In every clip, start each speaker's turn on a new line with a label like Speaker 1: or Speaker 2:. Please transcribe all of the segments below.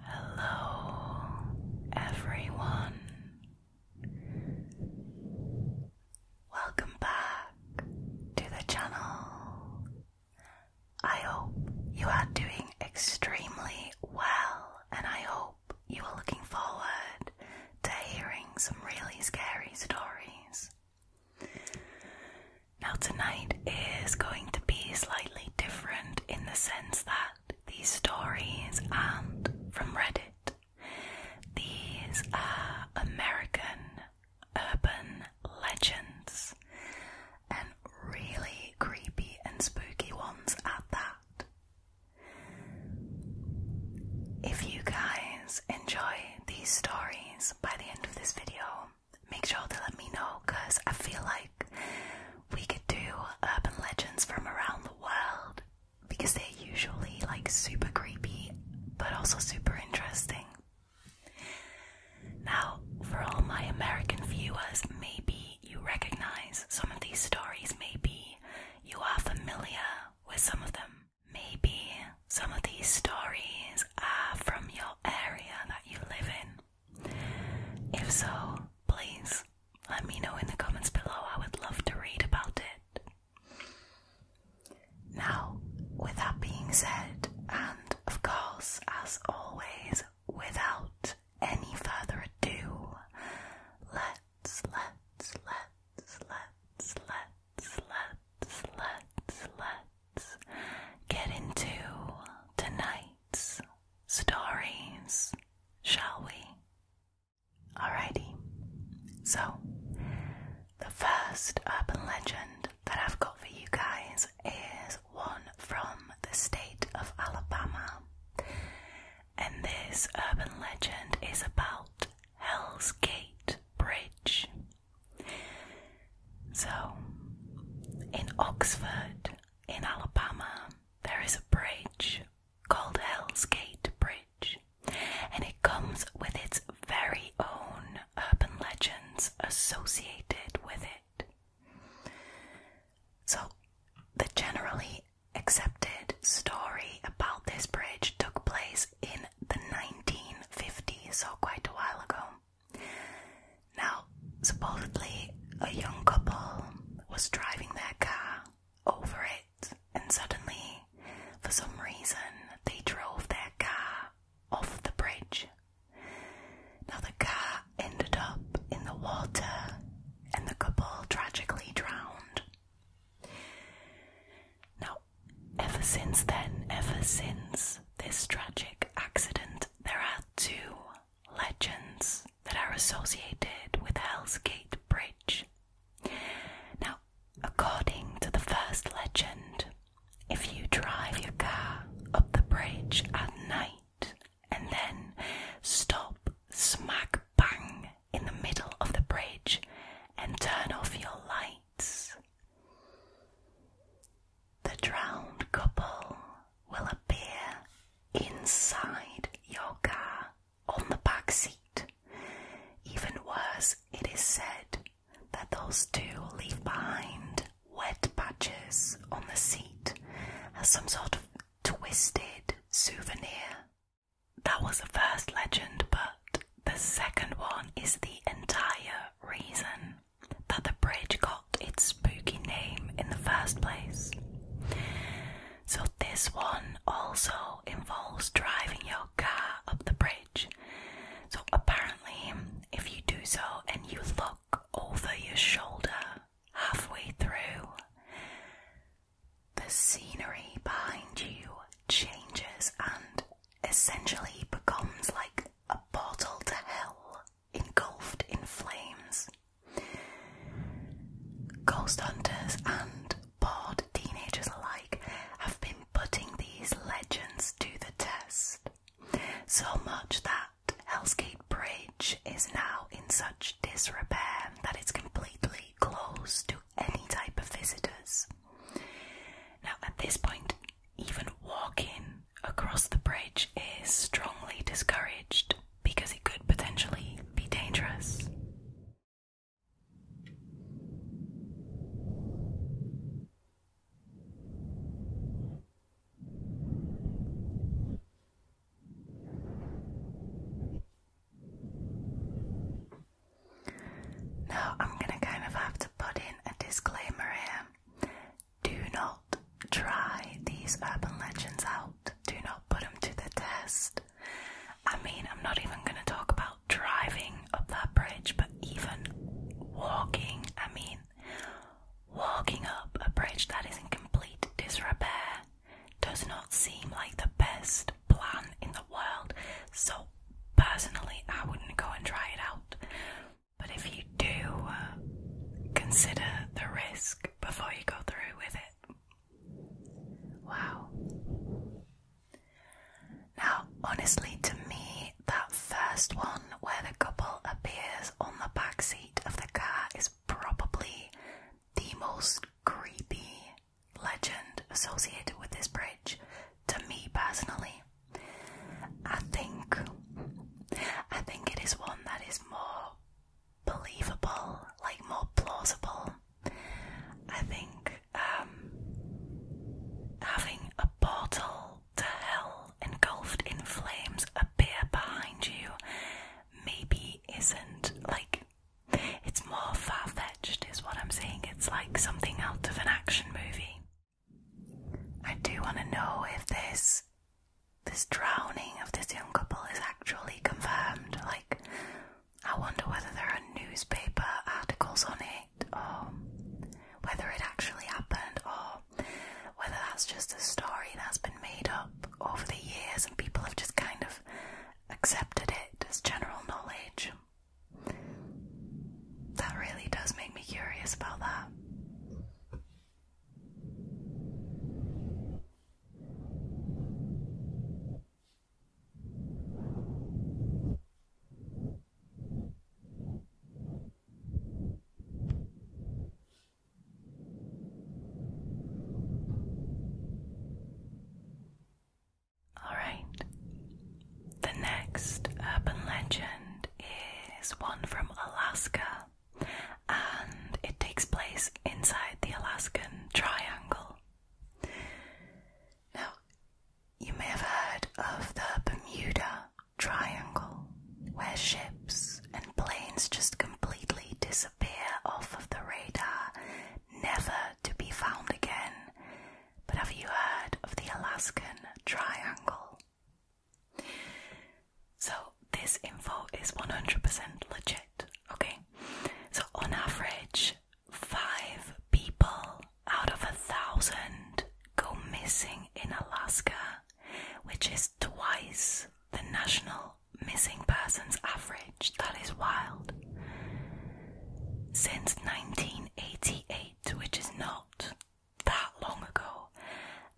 Speaker 1: Hello, everyone. Welcome back to the channel. I hope you are doing extremely well, and I hope you are looking forward to hearing some really scary stories. Now, tonight is going to be slightly different in the sense that these stories aren't from Reddit, these are American urban legends and really creepy and spooky ones at that. If you guys enjoy these stories by the end of this video, make sure to let me know because I feel like we could do urban legends from around the world because they're usually like super creepy but also super interesting. Now, for all my American viewers, maybe you recognize some of these stories, maybe you are familiar with some of them. Maybe some of these stories are from your area that you live in. If so, please let me know in the comments below. I would love to read about it. Now, with that being said, and and of course, as always, without any further ado, let's, let's, let's, let's, let's, let's, let's, let's get into tonight's stories, shall we? Alrighty, so the first urban legend that I've got for you guys is one from the state of Alabama, and this urban legend is about Hell's Gate Bridge. So, in Oxford, in Alabama, there is a bridge called Hell's Gate Bridge, and it comes with its very own urban legends associated with it. So, the generally accepted story about this bridge took place in the 1950s, so quite a while ago. Now, supposedly, a young couple was driving their car over it, and suddenly, for some reason, they drove their car off the bridge. Now, the car ended up in the water and the couple tragically drowned. Now, ever since then, ever since this tragic accident, there are two legends that are associated with Hell's Gate Bridge. Now, according to the first legend, if you drive your car up the bridge at night and then stop smack bang in the middle of the bridge and turn off your lights, the drowned couple will appear inside your car on the back seat. Even worse, it is said that those two leave behind wet patches on the seat as some sort of twisted souvenir. That was the first legend, but the second one is the entire reason that the bridge got its spooky name in the first place. So, this one also involves driving your car up the bridge so, apparently, if you do so and you look over your shoulder halfway through, the scenery behind you changes and essentially becomes like a portal to hell engulfed in flames. Ghost hunters and bored teenagers alike have been putting these legends to the test. So much that Hellsgate Bridge is now in such disrepair that it's completely closed to any type of visitors. Now, at this point, even walking across the bridge is strongly discouraged because it could potentially be dangerous. Now, I'm going to kind of have to put in a disclaimer here. Do not try these urban legends out, do not put them to the test. I mean, I'm not even going to talk about driving up that bridge, but even walking. I mean, Walking up a bridge that is in complete disrepair does not seem like the best plan in the world, so personally, I wouldn't go and try it out. But if you do, uh, consider the risk before you go through with it. Wow. Now, honestly, to me, that first one where the couple appears on the back seat of the car is probably the most creepy legend associated with this bridge to me personally. I think I think it is one that is more believable, like more plausible. I think um having a portal the hell engulfed in flames appear behind you maybe isn't like it's more far fetched, is what I'm saying. It's like something out of an action movie. I do want to know if this this drowning of this young couple is actually confirmed. Like, I wonder whether there are newspaper articles on it um, whether it actually happened, or whether that's just a story that's been made up over the years and people have just kind of accepted it as general knowledge. That really does make me curious about that. All right. The next urban legend is one from Alaska and it takes place inside the Alaskan Triangle. Now, you may have heard of the Bermuda Triangle, where ships and planes just completely disappear off of the radar, never to be found again. But have you heard of the Alaskan Triangle? So, this info is 100% legit, okay? So, on average, five people out of a thousand go missing in Alaska, which is twice the national missing persons average. That is wild. Since 1988, which is not that long ago,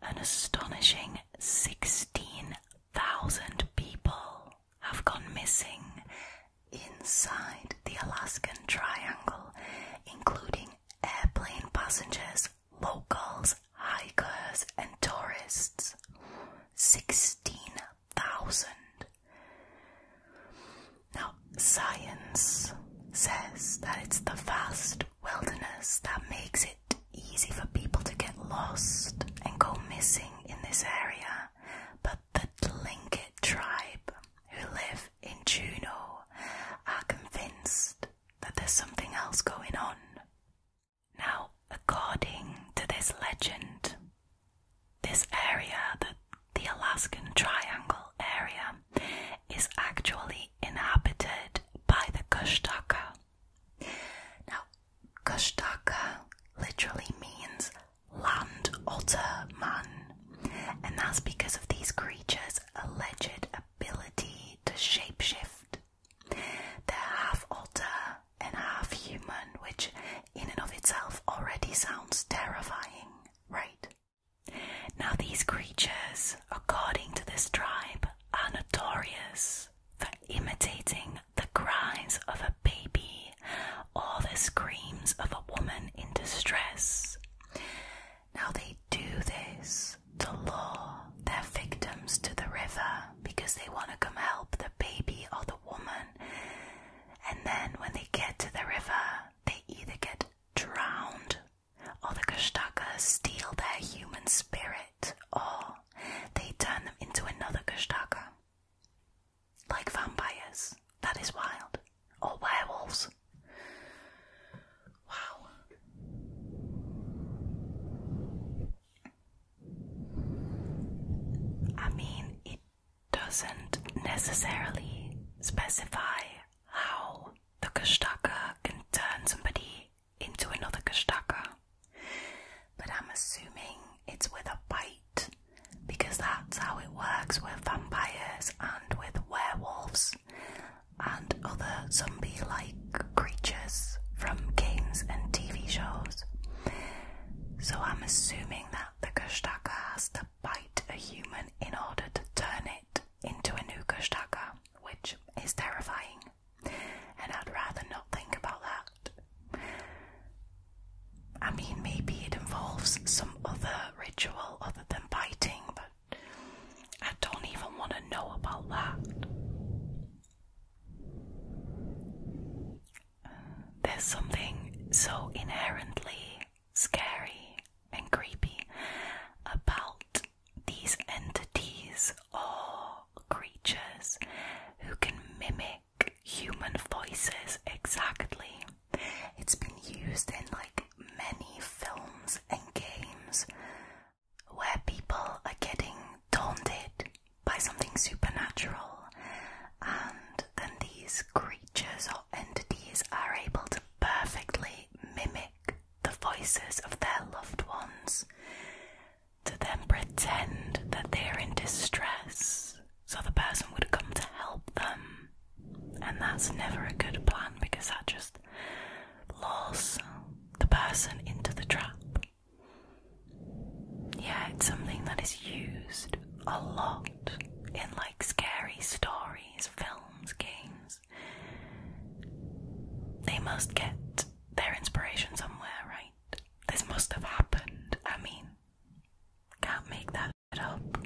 Speaker 1: an astonishing 16,000 people have gone missing inside the Alaskan Triangle, including airplane passengers, locals, hikers, and tourists. 16,000. Now, science says that it's the vast wilderness that makes it easy for people to get lost and go missing in this area, but the Tlingit tribe who live in Juneau are convinced that there's something else going on. Now, according to this legend, this area, the, the Alaskan Triangle area, is actually inhabited by the Kushtaka. Now, Kushtaka literally means land otter man, and that's because of these creatures' alleged ability to shapeshift. They're half alter and half human, which in and of itself already sounds terrifying, right? Now, these creatures, according to this tribe, are notorious for imitating the cries of a baby or the screams of a woman in distress. Now they do this to lure their victims to the river because they want to come help the baby or the woman. And then when they get to the river, they either get drowned or the Gestakas steal their human spirit or they turn them into another Gestaka. Like vampires. That is wild or werewolves. Wow. I mean, it doesn't necessarily specify how the Gestaka can turn somebody into another Gestaka, but I'm assuming it's with a bite because that's how it works with vampires and with werewolves and other zombie like creatures from games and TV shows. So I'm assuming that the Kushtaka has to bite a human in order to turn it into a new Kushtaka, which is terrifying, and I'd rather not think about that. I mean, maybe it involves some other ritual other than biting, but I don't even want to know about that. There's something so inherently scary and creepy about these entities or creatures who can mimic human voices exactly. It's been used in like many films and games where people are getting taunted by something supernatural, and then these creatures or entities are able to perfectly mimic the voices of their loved ones to then pretend that they are in distress so the person would come to help them. And that's never a good plan because that just lures the person into the trap. Yeah, it's something that is used a lot in like scary stories, films, games. They must get their inspiration somewhere, right? This must have happened. I mean, can't make that up.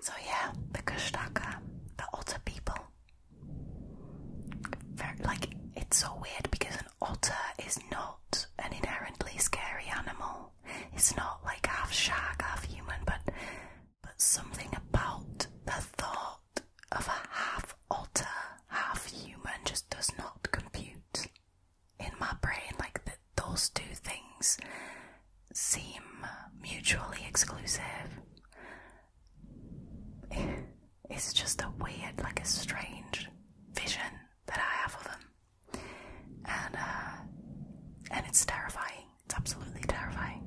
Speaker 1: So yeah, the Kushtaka, the otter people. like it's so weird because an otter is not an inherently scary animal. It's not like half shark, half human, but but something about the thought of a half otter, half human just does not compute in my brain like those two things seem mutually exclusive it's just a weird like a strange vision that i have of them and uh, and it's terrifying it's absolutely terrifying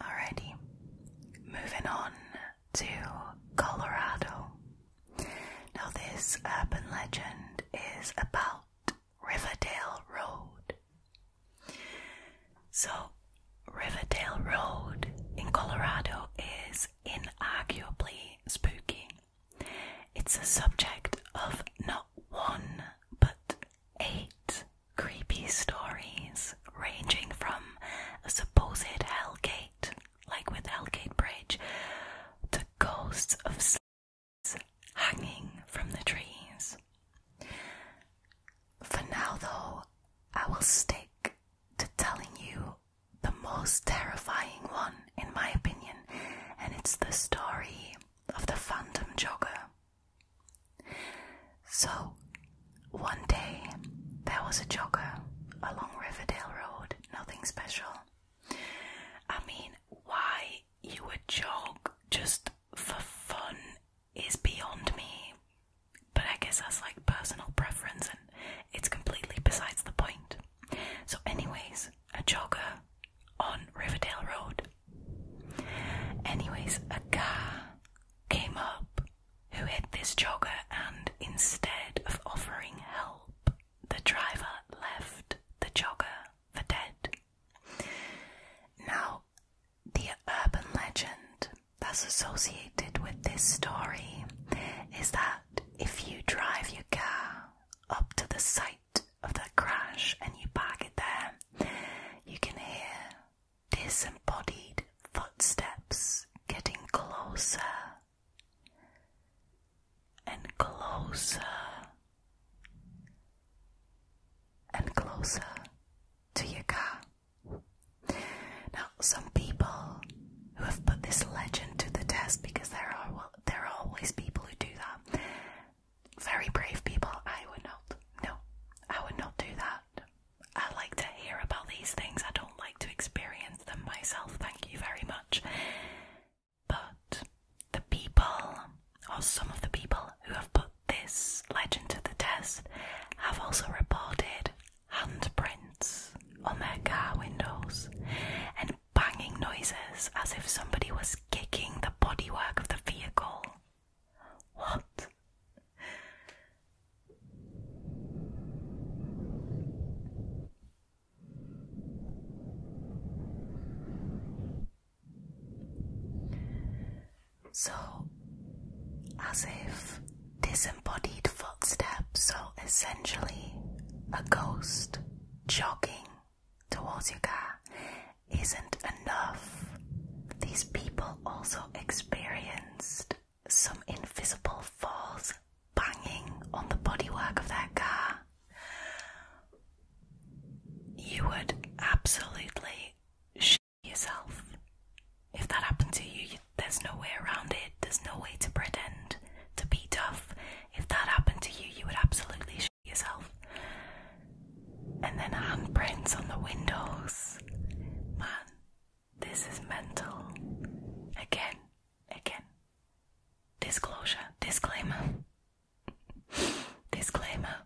Speaker 1: Alrighty, moving on to Colorado. Now, this urban legend is about Riverdale Road. So, Riverdale Road in Colorado is inarguably spooky. It's a subject of not one but eight creepy stories ranging from a supposed hellgate, like with Hellgate Bridge, to ghosts of slaves hanging from the trees. For now, though, I will stick to telling you the most terrifying one, in my opinion, and it's the story of the Phantom Jogger. So, one day there was a jogger along Riverdale Road, nothing special. I mean, why you would jog just for fun is beyond me, but I guess that's like personal preference and it's completely besides the point. So, anyways, a jogger on Riverdale Road. Anyways, a car came up who hit this jogger and instead of offering help, the driver left the jogger for dead. Now, the urban legend that's associated with this story is that if you drive your car up to the site of the crash and you park it there, you can hear disembodied footsteps getting closer and closer and closer to your car. Now, some people who have put this legend to the test because there are there are always people who do that. Very brave people, I would not. No, I would not do that. I like to hear about these things. I don't like to experience them myself, thank you very much. But the people, or some of the people who have put this legend to the test, have also reported handprints on their car windows and banging noises as if somebody was kicking the bodywork of the vehicle. What? So, as if disembodied footsteps, so essentially a ghost jogging towards your car, isn't enough. These people also experienced some invisible force banging on the bodywork of that car, you would absolutely shit yourself. If that happened to you, there's no way around it. There's no way to pretend to be tough. If that happened to you, you would absolutely shit yourself. And then handprints on the windows. Man, this is mental. Again, again. Disclosure, disclaimer. disclaimer.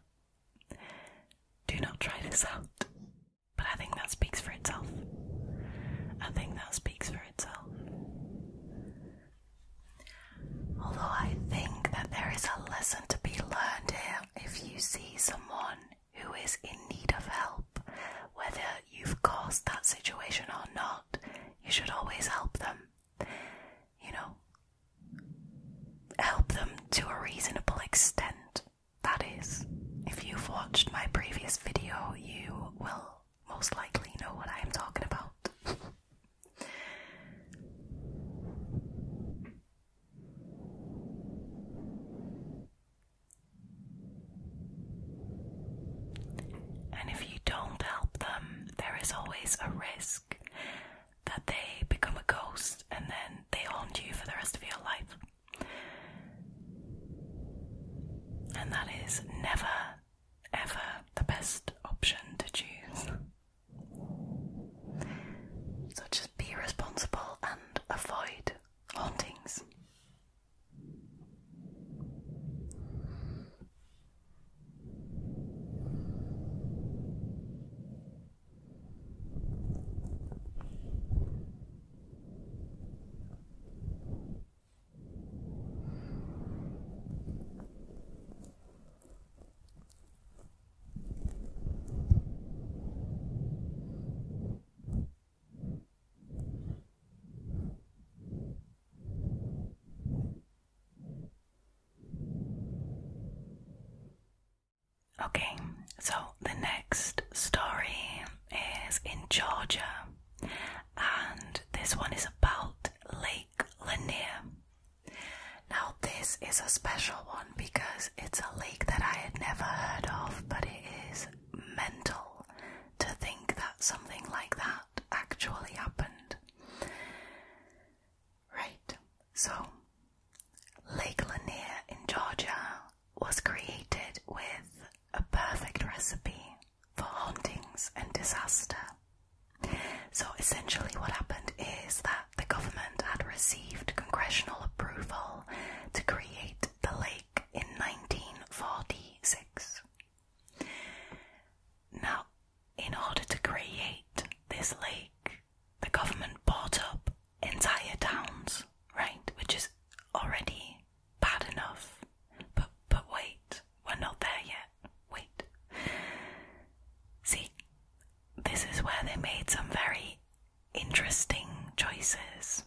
Speaker 1: Do not try this out. But I think that speaks for itself. I think that speaks for itself. Although I think that there is a lesson to be learned here if you see someone who is in need of help. Whether you've caused that situation or not, you should always help them. You know, help them to a reasonable extent. That is, if you've watched my previous video, you will most likely know what I am talking about. And if you don't help them, there is always a risk that they become a ghost and then they haunt you for the rest of your life. And that is never, ever the best option to choose. So just be responsible and avoid hauntings. Okay, so the next story is in Georgia, and this one is about Lake Lanier. Now, this is a special one because it's a lake that I had never heard of, but it is mental to think that something like that actually happened. Right, so Lake Lanier in Georgia was created with a perfect recipe for hauntings and disaster. So essentially, what happened is that the government had received congressional approval to create the lake in 1946. Now, in order to create this lake, the government bought up entire towns, right? Which is already bad enough. But but wait, we're not there yet. Wait. See, this is where they made some very interesting choices.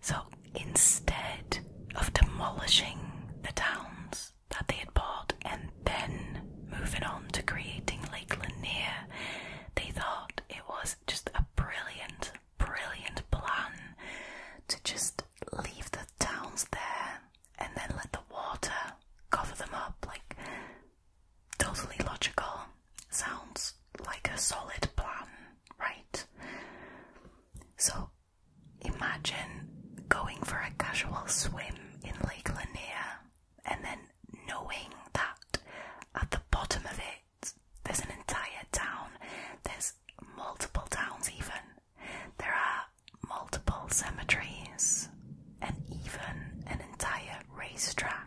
Speaker 1: So instead of demolishing the towns that they had bought and then moving on to creating Lake Lanier, they thought it was just a brilliant, brilliant plan to just leave the towns there and then let the water cover them up. Like, totally logical sounds like a solid plan, right? So imagine going for a casual swim in Lake Lanier and then knowing that at the bottom of it there's an entire town, there's multiple towns even, there are multiple cemeteries and even an entire racetrack.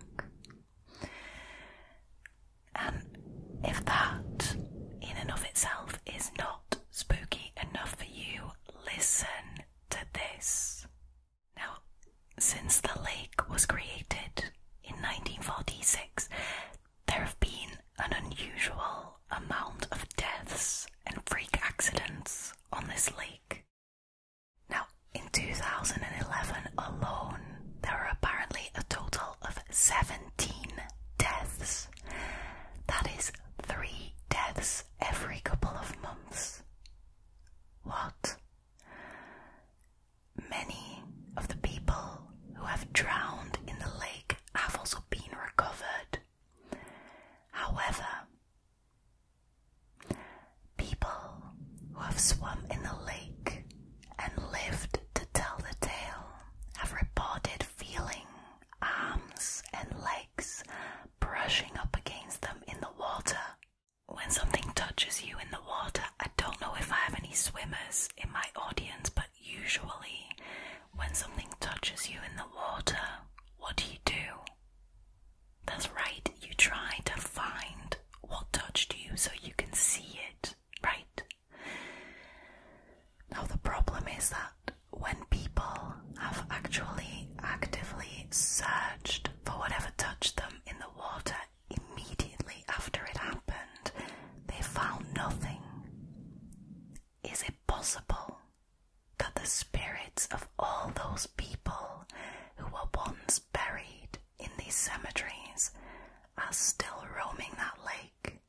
Speaker 1: And if that in and of itself is not spooky enough for you, listen to this. Now, since the lake was created in 1946, there have been an unusual amount of deaths and freak accidents on this lake. Now, in 2011 alone, there were apparently a total of 17 deaths. That is three deaths every couple of months. What? Many of the people who have drowned in the lake have also been recovered. However, People who have swum in the lake and lived to tell the tale have reported feeling arms and legs brushing up against them in the water. When something touches you in the water, I don't know if I have any swimmers in my audience, but usually when something touches you in the water, what do you do? That's right, you try to find what touched you so you can see it, right? Now, the problem is that when people have actually actively searched for whatever touched them in the water immediately after it happened, they found nothing. Is it possible that the spirits of all those people who were once buried in these cemeteries are still roaming that lake.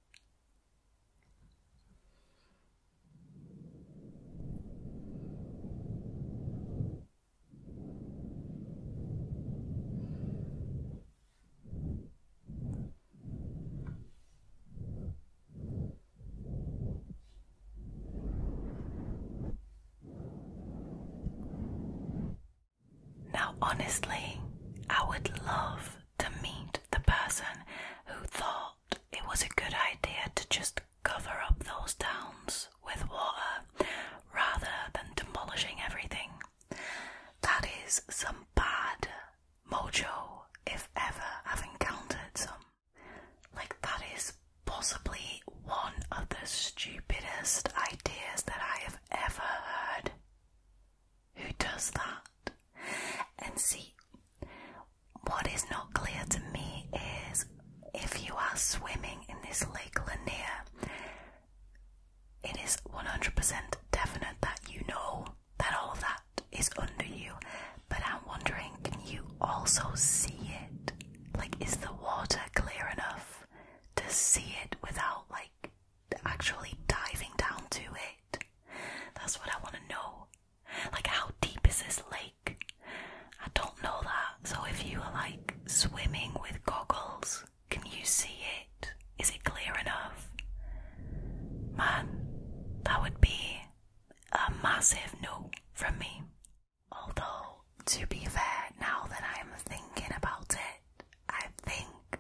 Speaker 1: Now, honestly, I would love to meet the person who thought it was a good idea to just cover up those towns with water rather than demolishing everything. That is some bad mojo, if ever I've encountered some. Like, that is possibly one of the stupidest ideas that I have ever heard who does that. And see, what is not clear to me is if you are swimming in this Lake Lanier, it is 100% definite that you know that all that is under you. But I'm wondering, can you also see it? Like, is the water clear enough to see it without like actually diving down to it. That's what I want to know. Like, how deep is this lake? I don't know that. So, if you are like swimming with goggles, can you see it? Is it clear enough? Man, that would be a massive no from me. Although, to be fair, now that I'm thinking about it, I think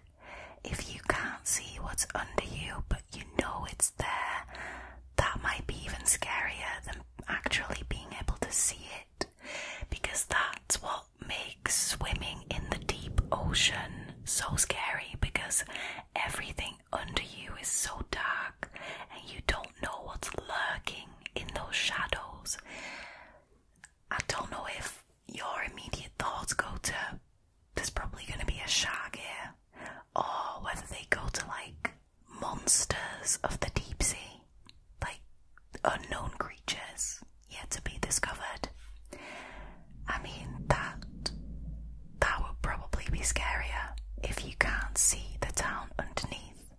Speaker 1: if you can't see what's under you but you know it's there, that might be even scarier than actually being able to see it because that's what makes swimming in the deep ocean so scary because everything under you is so dark and you don't know what's lurking in those shadows. I don't know if your immediate thoughts go to there's probably going to be a shark here, or whether they go to like monsters of the deep sea, like unknown creatures yet to be discovered. I mean that that would probably be scarier if you can't see the town underneath.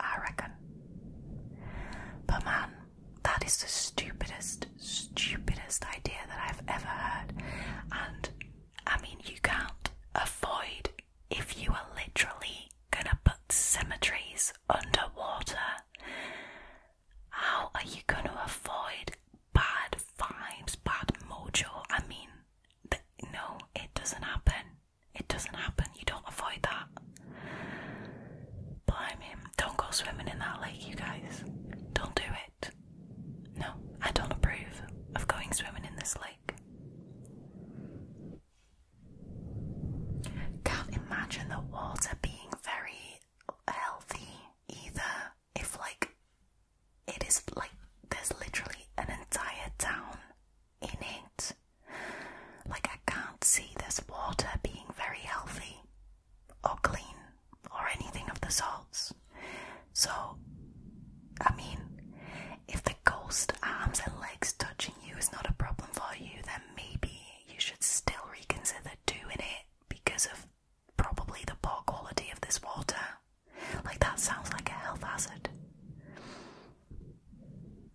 Speaker 1: I reckon. But man, that is the stupidest, stupidest idea that I've ever heard. And I mean, you can't avoid if you are literally gonna put cemeteries underwater. How are you gonna avoid bad vibes, bad mojo? I mean, no, it doesn't happen. It doesn't happen. You don't avoid that. Blimey, don't go swimming in that lake, you guys. Don't do it. No, I don't approve of going swimming in this lake. Can't imagine the water being very healthy either. If, like, it is like there's literally an entire town in it. Like, I can't see this water being very healthy or clean or anything of the sorts. So, I mean, if the ghost arms and legs touching you is not a problem for you, then maybe you should still reconsider doing it because of probably the poor quality of this water. Like, that sounds like a health hazard.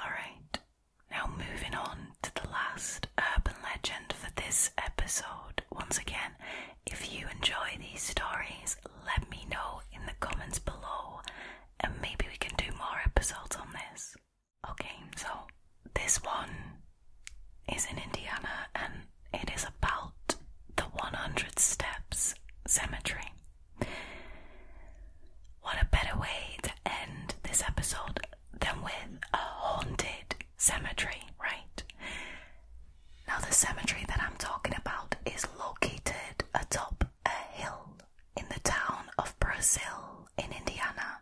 Speaker 1: Alright, now moving on to the last urban legend for this episode. Once again, if you enjoy these stories, let me know in the comments below and maybe we can do more episodes on this. Okay, so this one is in Indiana and it is about the 100 Steps Cemetery. What a better way to end this episode than with a haunted cemetery, right? Now, the cemetery that I'm talking about is located atop a hill in the town of Brazil in Indiana.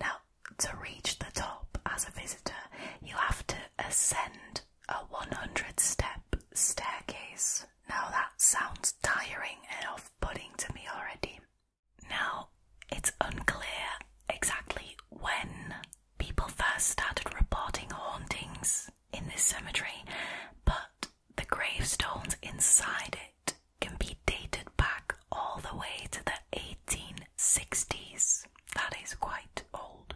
Speaker 1: Now, to reach the top as a visitor, you have to ascend a 100 step staircase. Now that sounds tiring and off putting to me already. Now, it's unclear exactly when people first started reporting hauntings in this cemetery, but the gravestones inside it can be dated back all the way to the 1860s. That is quite old.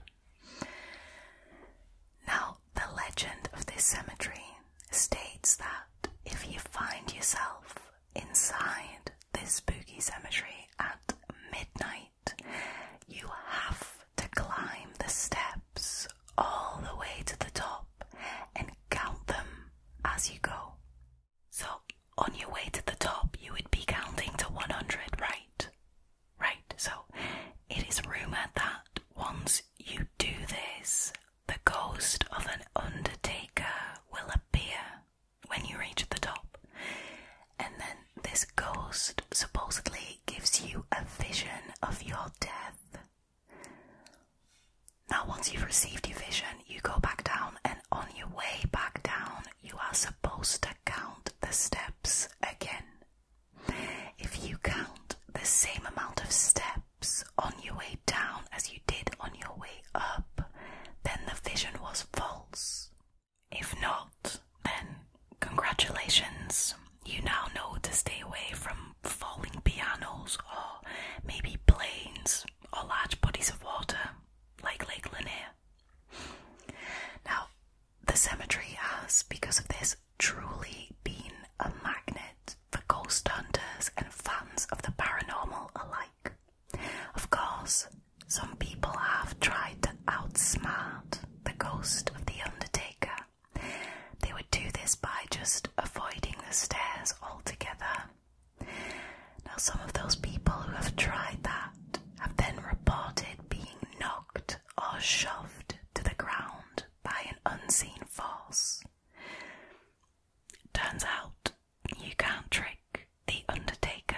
Speaker 1: Now, the legend of this cemetery states that if you find yourself inside this spooky cemetery at midnight, you have to climb the steps all the way to the top and count them as you go. So, on your way to the top, you would be counting to 100, right? Right, so it is rumoured that once you do this, the ghost of an undertaker will appear when you reach the top. And then this ghost supposedly gives you a vision of your death. Now, once you've received your vision, you go back down, and on your way back down, you are supposed to count the steps again. If you count the same amount of steps on your way down as you did on your way up, then the vision was false. If not, then congratulations, you now know to stay away from falling pianos or maybe planes or large bodies of water like Lake Lanier. Now, the cemetery has, because of this, truly been a magnet for ghost hunters and fans of the paranormal alike. Of course, some people have tried to outsmart the ghost of the undertaker. They would do this by just avoiding the stairs altogether. Now, some of those people who have tried that have then reported being knocked or shoved to the ground by an unseen force. Turns out you can't trick the Undertaker.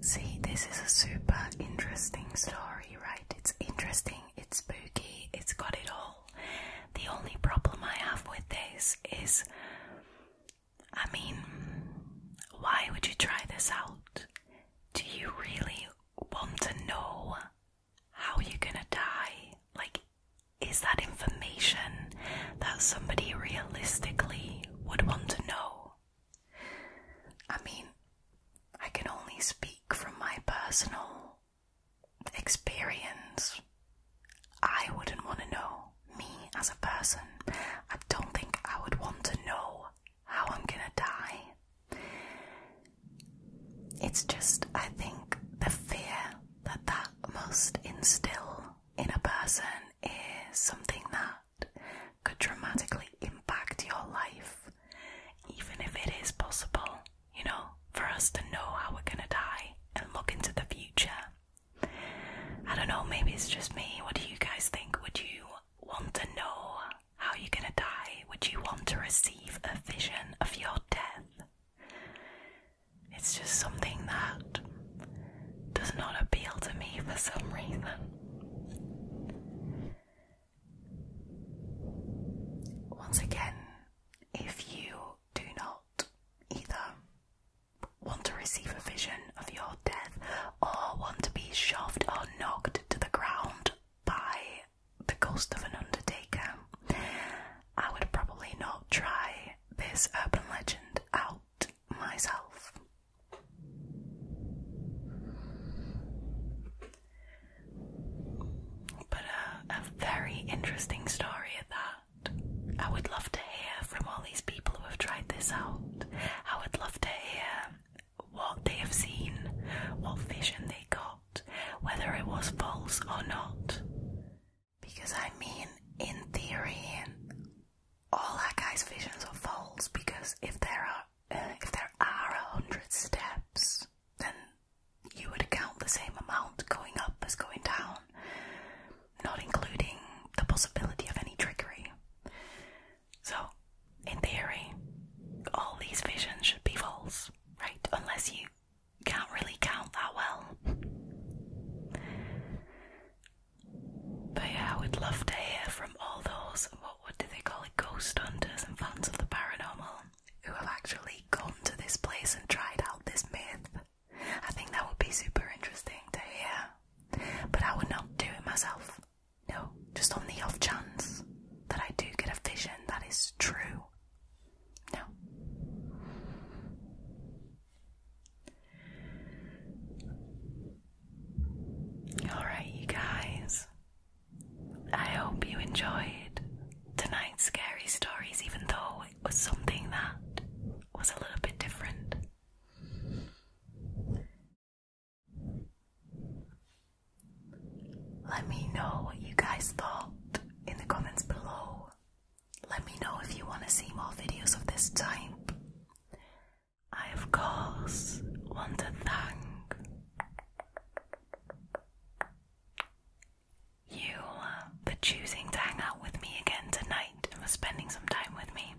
Speaker 1: See, this is a super interesting story, right? It's interesting, it's spooky, it's got it all. The only problem I have with this is I mean, why would you try this out? Do you really want to know how you're gonna die? Like, is that information that somebody realistically would want to know. I mean, I can only speak from my personal experience. I wouldn't want to know me as a person. I don't think I would want to know how I'm gonna die. It's just, I think, the fear that that must instill in a person is something that could dramatically impact your life, even if it is possible, you know, for us to know how we're gonna die and look into the future. I don't know, maybe it's just me. What do you guys think? Would you want to know how you're gonna die? Would you want to receive a vision of your death? It's just something that does not appeal to me for some reason. Once again, if you do not either want to receive a vision of your death or want to be shoved or knocked to the ground by the ghost of an undertaker, I would probably not try this urban legend out myself. But a very interesting story at that. I would love to hear from all these people who have tried this out. I would love to hear what they have seen, what vision they got, whether it was false or not. Because I mean, in theory, all that guy's visions are false. Because if there are uh, if there are a hundred steps, then you would count the same amount going up as going down, not including the possibility of any trickery. So, in theory, all these visions should be false, right? Unless you can't really count that well. But yeah, I would love to hear from all those, what, do they call it, ghost hunters and fans of the paranormal who have actually gone to this place and tried out this myth. I think that would be super interesting to hear. But I would not do it myself. No, just on the off chance that I do get a vision that is true. No. Alright, you guys. I hope you enjoyed tonight's scary stories, even though it was something that was a little bit different. Let me know what you guys thought in the comments below. Let me know if you want to see more videos of this type. I, of course, want to thank you uh, for choosing to hang out with me again tonight and for spending some time with me.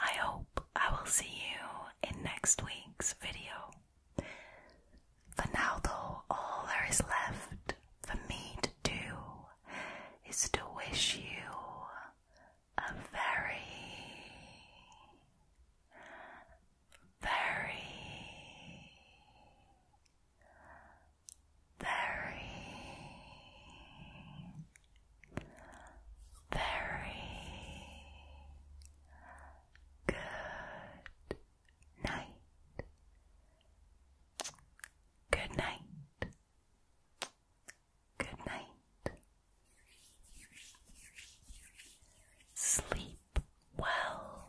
Speaker 1: I hope I will see you in next week's video. For now, though, all there is left for me to do is to wish you a very, very, very, very good night. Good night. Good night. Sleep well.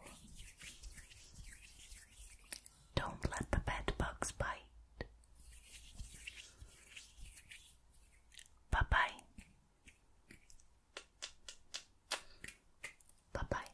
Speaker 1: Don't let the bed bugs bite. Bye bye. Bye bye.